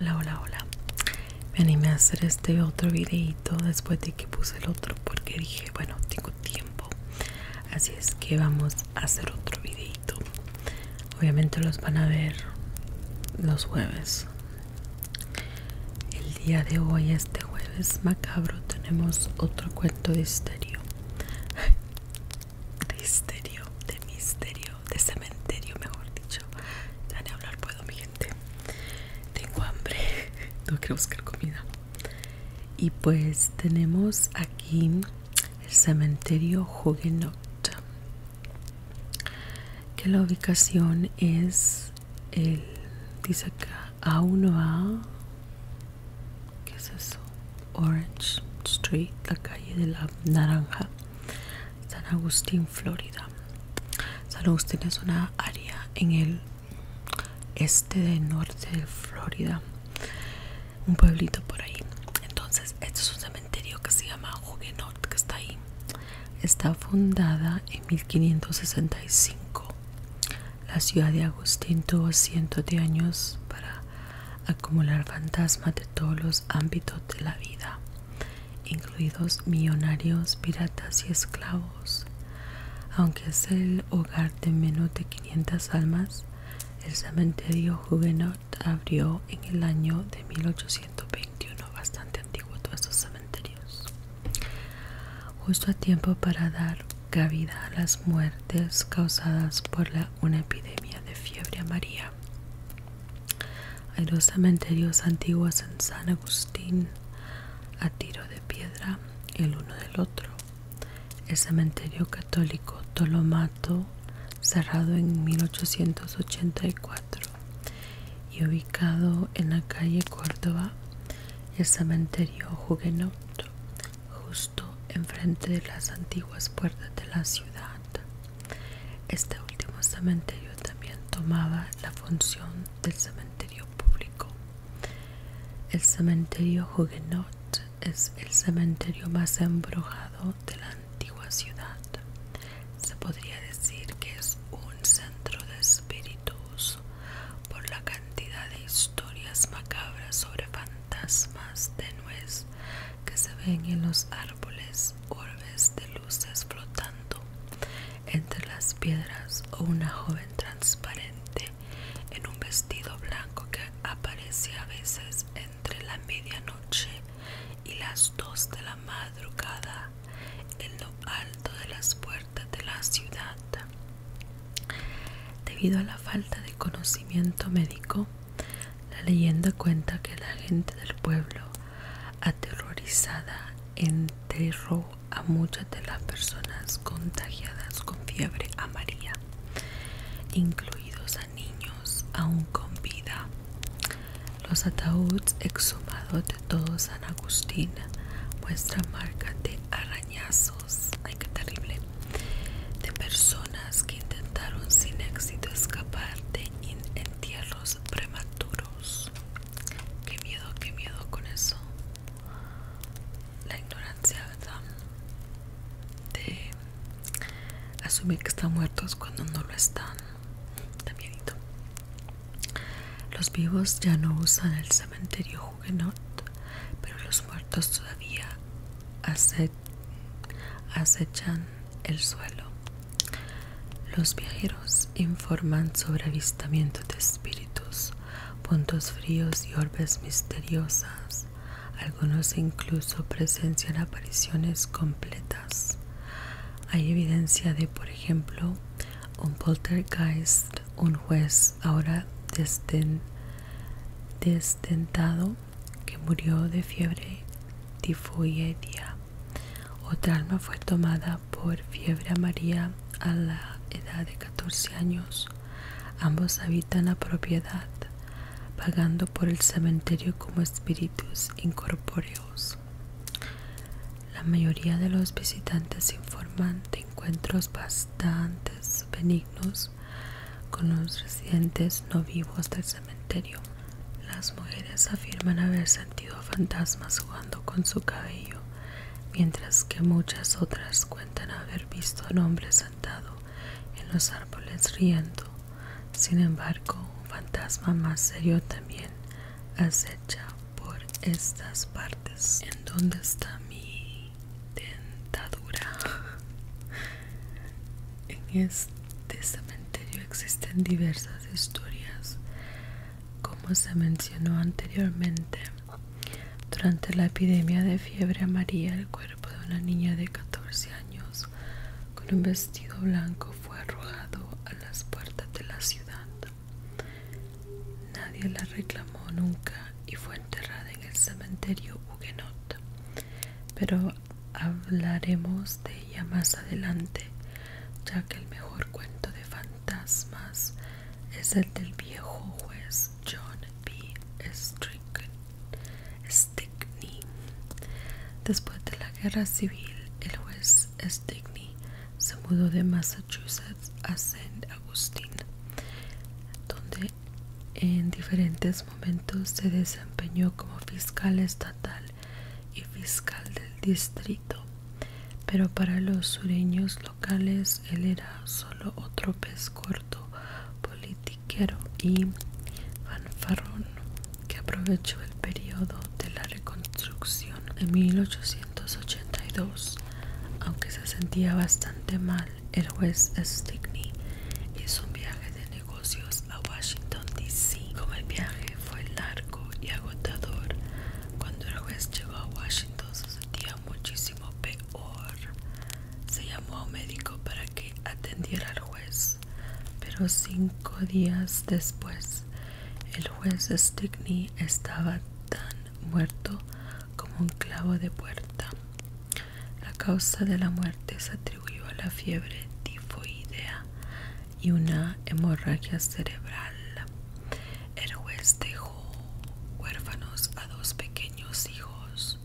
Hola, hola, hola. Me animé a hacer este otro videito después de que puse el otro porque dije, bueno, tengo tiempo. Así es que vamos a hacer otro videito. Obviamente los van a ver los jueves el día de hoy, este jueves macabro, tenemos otro cuento de misterio. De misterio, de misterio, de cementerio, mejor dicho. Ya hablar puedo, mi gente. Tengo hambre, tengo que buscar comida. Y pues tenemos aquí el cementerio Huguenot. Que la ubicación es el dice acá a uno ¿qué es eso? Orange Street la calle de la naranja San Agustín Florida San Agustín es una área en el este de norte de Florida un pueblito por ahí entonces este es un cementerio que se llama Huguenot que está ahí está fundada en 1565. La ciudad de Agustín tuvo cientos de años para acumular fantasmas de todos los ámbitos de la vida, incluidos millonarios, piratas y esclavos. Aunque es el hogar de menos de 500 almas, el cementerio juvenil abrió en el año de 1821, bastante antiguo todo su cementerio Justo a tiempo para dar cabida a las muertes causadas por una epidemia de fiebre amarilla. Hay dos cementerios antiguos en San Agustín a tiro de piedra el uno del otro. El cementerio católico Tolomato, cerrado en 1884, y ubicado en la calle Córdoba el cementerio Huguenot justo enfrente de las antiguas puertas de la ciudad. Este último cementerio también tomaba la función del cementerio público. El cementerio Huguenot es el cementerio más embrujado de la antigua ciudad. Se podría decir que es un centro de espíritus por la cantidad de historias macabras sobre fantasmas tenues que se ven en los árboles, orbes de luces flotando entre las piedras o una joven transparente en un vestido blanco que aparece a veces entre la medianoche y las dos de la madrugada en lo alto de las puertas de la ciudad. Debido a la falta de conocimiento médico, la leyenda cuenta que la gente del pueblo aterrorizada enterró a muchas de las personas contagiadas con fiebre amarilla, incluidos a niños aún con vida. Los ataúdes exhumados de todo San Agustín muestran marca de arañazos, ay qué terrible, de personas que intentaron sin éxito escapar de entierros prematuros. Qué miedo, qué miedo con eso. La ignorancia, ¿verdad? De asumir que están muertos cuando no lo están. También. Los vivos ya no usan el cementerio Huguenot, pero los muertos todavía acechan el suelo. Los viajeros informan sobre avistamientos de espíritus, puntos fríos y orbes misteriosas. Algunos incluso presencian apariciones completas. Hay evidencia de, por ejemplo, un poltergeist, un juez ahora desdentado que murió de fiebre tifoidea. Otra alma fue tomada por fiebre María a la edad de 14 años. Ambos habitan la propiedad, pagando por el cementerio como espíritus incorpóreos. La mayoría de los visitantes informan de encuentros bastante benignos con los residentes no vivos del cementerio. Las mujeres afirman haber sentido fantasmas jugando con su cabello, mientras que muchas otras cuentan haber visto a un hombre sentado en los árboles riendo. Sin embargo, un fantasma más serio también acecha por estas partes. ¿En donde está mi dentadura? En este cementerio existen diversas historias. Como se mencionó anteriormente, durante la epidemia de fiebre amarilla, el cuerpo de una niña de 14 años con un vestido blanco fue arrojado a las puertas de la ciudad. Nadie la reclamó nunca y fue enterrada en el cementerio Huguenot, pero hablaremos de ella más adelante, ya que el mejor cuento de fantasmas es el del viejo juez John B. Stickney. Después de la guerra civil, el juez se mudó de Massachusetts a Saint Augustine, donde en diferentes momentos se desempeñó como fiscal estatal y fiscal del distrito, pero para los sureños locales él era solo otro pez corto, politiquero y fanfarrón que aprovechó el periodo de la reconstrucción en 1882. Aunque se sentía bastante mal, el juez Stickney hizo un viaje de negocios a Washington, D.C. Como el viaje fue largo y agotador, cuando el juez llegó a Washington se sentía muchísimo peor. Se llamó a un médico para que atendiera al juez, pero cinco días después el juez Stigney estaba tan muerto como un clavo de puerta. La causa de la muerte se atribuyó a la fiebre tifoidea y una hemorragia cerebral. El juez dejó huérfanos a dos pequeños hijos.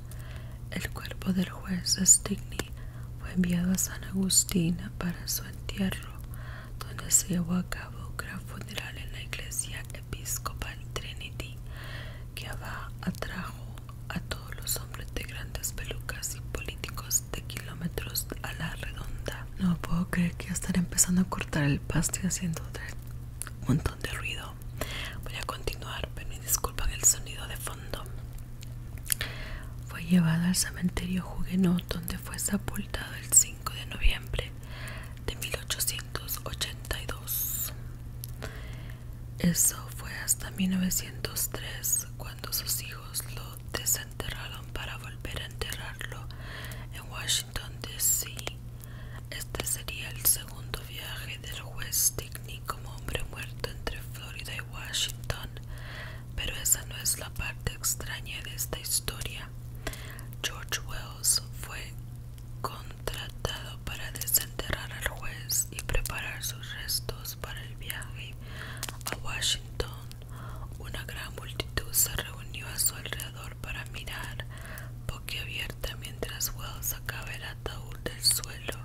El cuerpo del juez Stigney fue enviado a San Agustín para su entierro, donde se llevó a cabo un gran funeral en la iglesia episcopal Trinity, que atrajo a todos los hombres de grandes pelucas y políticos de kilómetros a la redonda. No puedo creer que ya empezando a cortar el pasto haciendo un montón de ruido. Voy a continuar, pero me disculpan el sonido de fondo. Fue llevada al cementerio Huguenot, donde fue sepultado el 5 de noviembre de 1882. Eso fue hasta 1903 cuando sus hijos lo desenterraron para volver a enterrarlo en Washington, D.C. Este sería el segundo viaje del juez Dickney como hombre muerto entre Florida y Washington pero esa no es la parte extraña de esta historia. George Wells fue contratado para desenterrar al juez y preparar sus restos para el viaje a Washington. Una gran multitud se reunió a su alrededor para mirar abierta mientras Wells sacaba el ataúd del suelo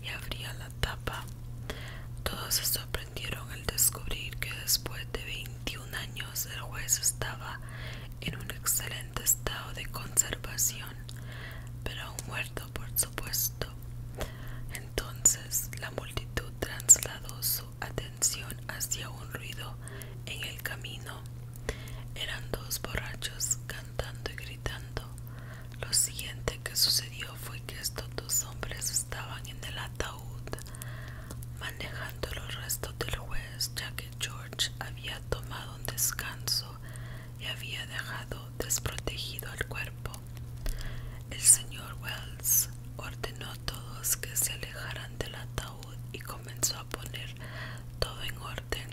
y abría la tapa. Todos se sorprendieron el al descubrir que después de 21 años el juez estaba en un excelente estado de conservación, pero aún muerto por supuesto. Entonces la multitud trasladó su atención hacia un ruido en el camino. Eran dos borrachos cantando y gritando. Lo siguiente que sucedió fue que estos dos hombres estaban en el manejando los restos del juez, ya que George había tomado un descanso y había dejado desprotegido el cuerpo. El señor Wells ordenó a todos que se alejaran del ataúd y comenzó a poner todo en orden,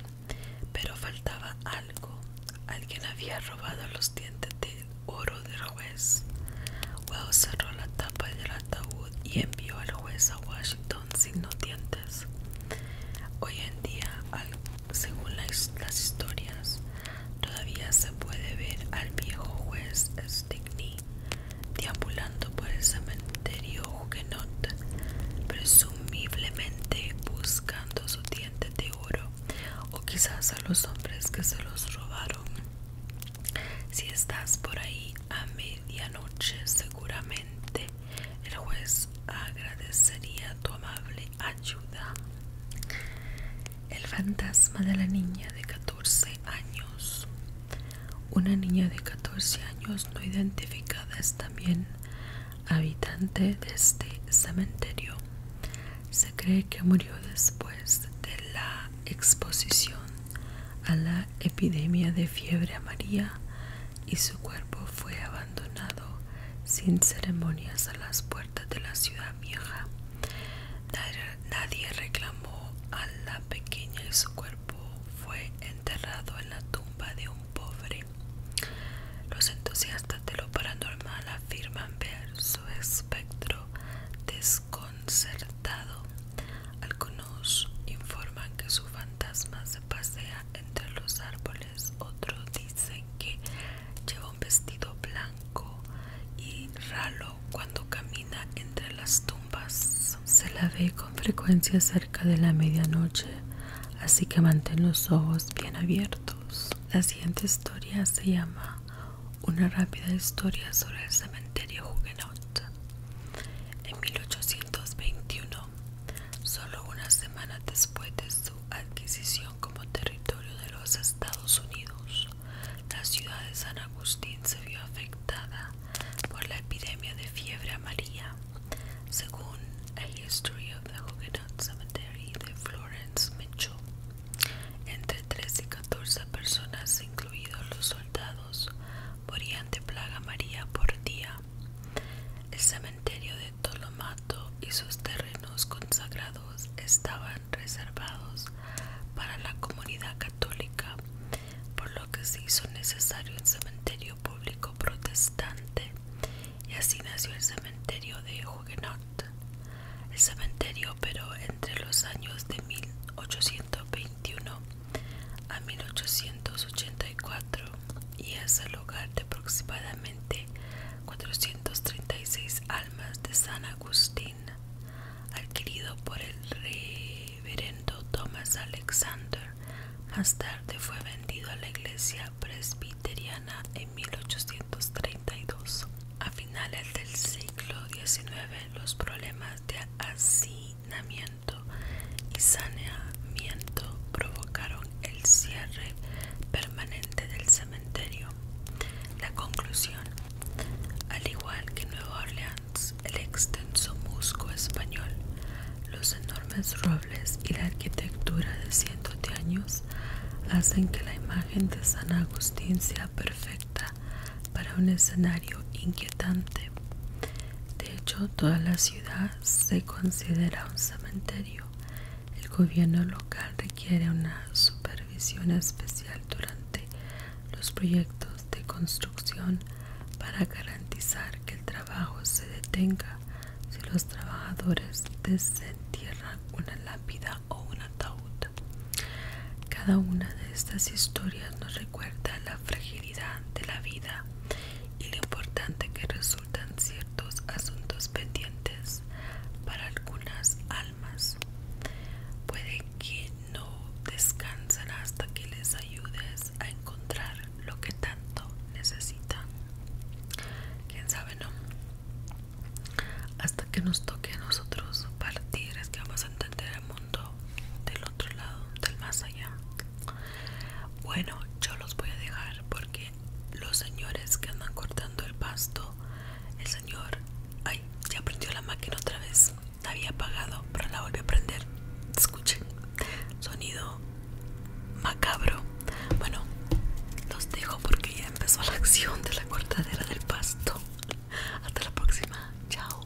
pero faltaba algo. Alguien había robado los dientes de oro del juez. Wells cerró la tapa del ataúd y envió al juez a Washington sin dientes. Hoy en día, según las, historias, todavía se puede ver al viejo juez Stickney deambulando por el cementerio Huguenot, presumiblemente buscando su diente de oro o quizás a los hombres que se los robaron. Si estás por ahí a medianoche, seguramente el juez agradecería tu amable ayuda. El fantasma de la niña de 14 años. Una niña de 14 años no identificada es también habitante de este cementerio. Se cree que murió después de la exposición a la epidemia de fiebre amarilla y su cuerpo fue abandonado sin ceremonias a las puertas de la ciudad vieja. Nadie reclamó a la pequeña y su cuerpo fue enterrado en la tumba de un pobre. Los entusiastas de lo paranormal afirman ver su espectro desconocido concertado. Algunos informan que su fantasma se pasea entre los árboles, Otro dicen que lleva un vestido blanco y ralo cuando camina entre las tumbas. Se la ve con frecuencia cerca de la medianoche, así que mantén los ojos bien abiertos. La siguiente historia se llama una rápida historia sobre el cementerio Huguenot. En 1821, solo unas semanas después de su adquisición como territorio de los Estados Unidos, la ciudad de San Agustín se vio afectada por la epidemia de fiebre amarilla, según el History of the Huguenot Cemetery de Florence Mitchell. Entre 13 y 14 personas, incluidos los soldados, morían de plaga María por día. El cementerio de Tolomato y sus terrenos consagrados estaban reservados para la comunidad católica, por lo que se hizo necesario un cementerio público protestante, y así nació el cementerio de Huguenot. El cementerio operó entre los años de 1821 a 1884 y es el hogar de aproximadamente 436 almas de San Agustín, adquirido por el reverendo Thomas Alexander. Más tarde fue vendido a la iglesia presbiteriana en 1832. A finales del siglo siglo XIX los problemas de hacinamiento y saneamiento provocaron el cierre permanente del cementerio. La conclusión, al igual que Nueva Orleans, el extenso musgo español, los enormes robles y la arquitectura de cientos de años hacen que la imagen de San Agustín sea perfecta para un escenario inquietante. De hecho, toda la ciudad se considera un cementerio. El gobierno local requiere una supervisión especial durante los proyectos de construcción para garantizar que el trabajo se detenga si los trabajadores desentierran una lápida o un ataúd. Cada una de estas historias nos recuerda la fragilidad de la vida y lo importante que resultan ciertos asuntos pendientes para algunas almas. Puede que no descansen hasta que les ayudes a encontrar lo que tanto necesitan. ¿Quién sabe no? hasta que nos toque a nosotros partir es que vamos a entender el mundo del otro lado del más allá bueno yo los voy a dejar porque los señores que andan cortando el pasto el señor ay ya prendió la máquina otra vez había apagado para la volvió a prender escuchen sonido macabro bueno los dejo porque ya empezó la acción de la cortadera del pasto Hasta la próxima. Chao.